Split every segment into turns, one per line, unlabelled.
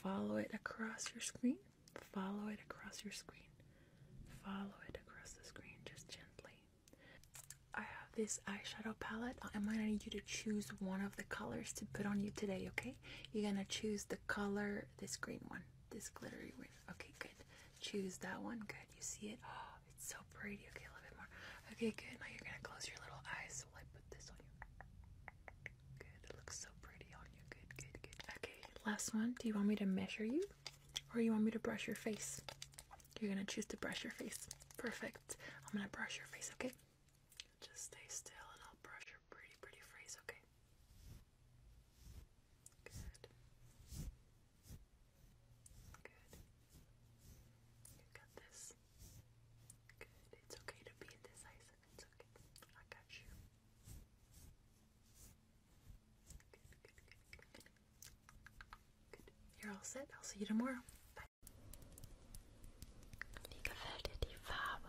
Follow it across your screen. Follow it across your screen. Follow it across the screen just gently. I have this eyeshadow palette. I'm gonna need you to choose one of the colors to put on you today, okay? You're gonna choose the color, this green one, this glittery one. Okay, good. Choose that one. Good. You see it? Oh, it's so pretty. Okay, a little bit more. Okay, good. Now you're gonna close your little eyes. So I put this on you. Good. It looks so pretty on you. Good, good, good. Okay, last one. Do you want me to measure you? Or you want me to brush your face? You're gonna choose to brush your face. Perfect. I'm gonna brush your face, okay? Just stay still and I'll brush your pretty, pretty face, okay? Good. Good. You got this. Good. It's okay to be indecisive. It's okay. I got you. You're all set. I'll see you tomorrow. Bye. Wie gefällt dir die Farbe?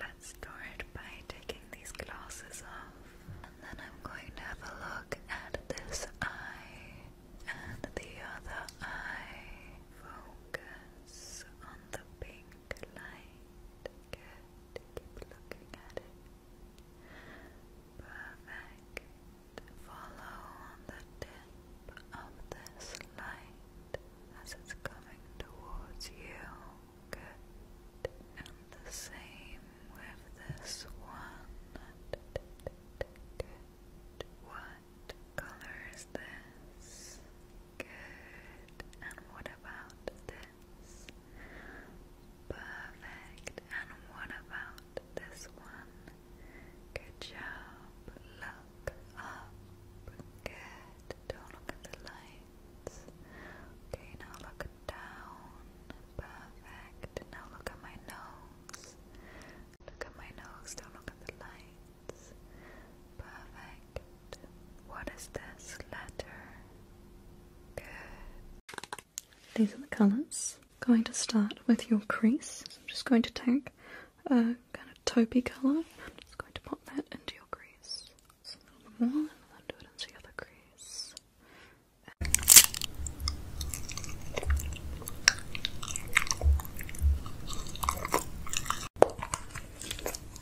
Let's store by taking these glasses off. And then I'm going to have a look at this eye and the other eye. Focus on the pink light. Good. Keep looking at it. Perfect. Follow the tip of this light as it's coming towards you. Good. And the same with this one. What color this? Good. And what about this? Perfect. And what about this one? Good job. Look up. Good. Don't look at the lights. Okay, now look down. Perfect. Now look at my nose. Look at my nose. Don't look at the lights. Perfect. What is this letter?
These are the colours. Going to start with your crease. I'm just going to take a kind of taupey colour. I'm just going to pop that into your crease. Just a little and then do it into the other crease.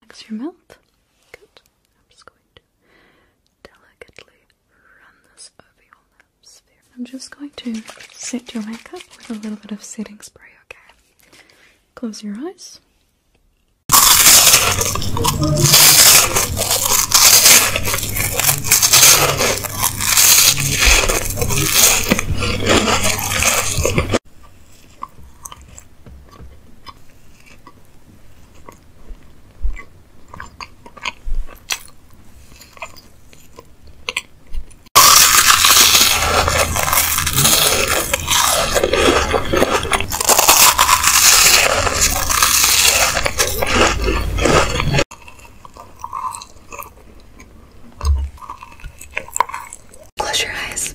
Relax your mouth. Good. I'm just going to
delicately
I'm just going to set your makeup with a little bit of setting spray, okay? Close your eyes.
Close your eyes.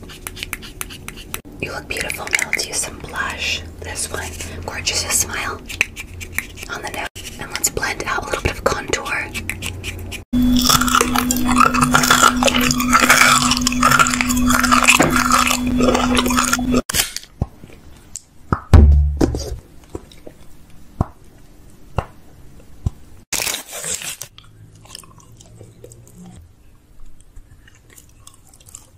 You look beautiful now. Let's use some blush. This one. Gorgeous. smile on the and let's blend out a little bit of contour.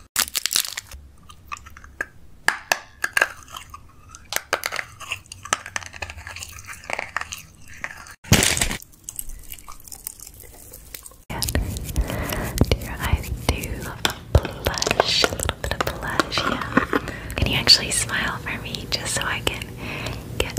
Do your eyes do blush? A little bit of blush, yeah. Can you actually smile for me just so I can get.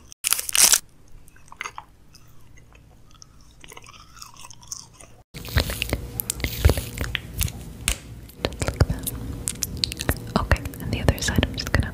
that. Okay, and the other side, I'm just gonna.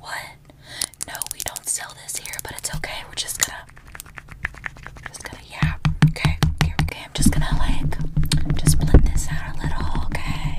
What? No, we don't sell this here, but it's okay. We're just gonna, just gonna, yeah. Okay, okay, I'm just gonna like, just blend this out a little. Okay,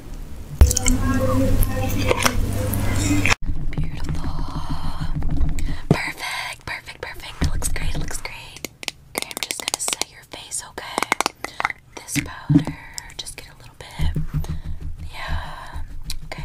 Beautiful. Perfect, perfect, perfect. It looks great, it looks great. Okay, I'm just gonna set your face, okay? This powder, just get a little bit. Yeah. Okay.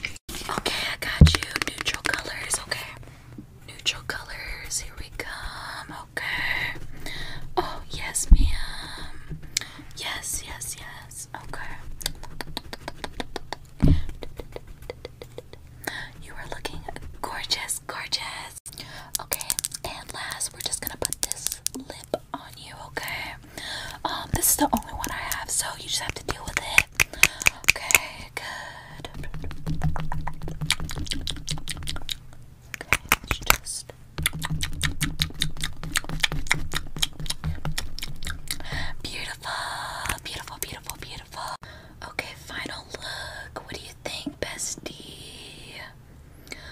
Okay, I got you. Neutral colors, okay. Neutral colors, here we come, okay. Oh, yes, ma'am. Yes, yes, yes, okay. You are looking gorgeous, gorgeous. Okay, and last, we're just gonna put this lip on you, okay? Um, this is the only one I have, so you just have to deal with it. Okay, good. Okay, let just beautiful, beautiful, beautiful, beautiful. Okay, final look. What do you think, bestie?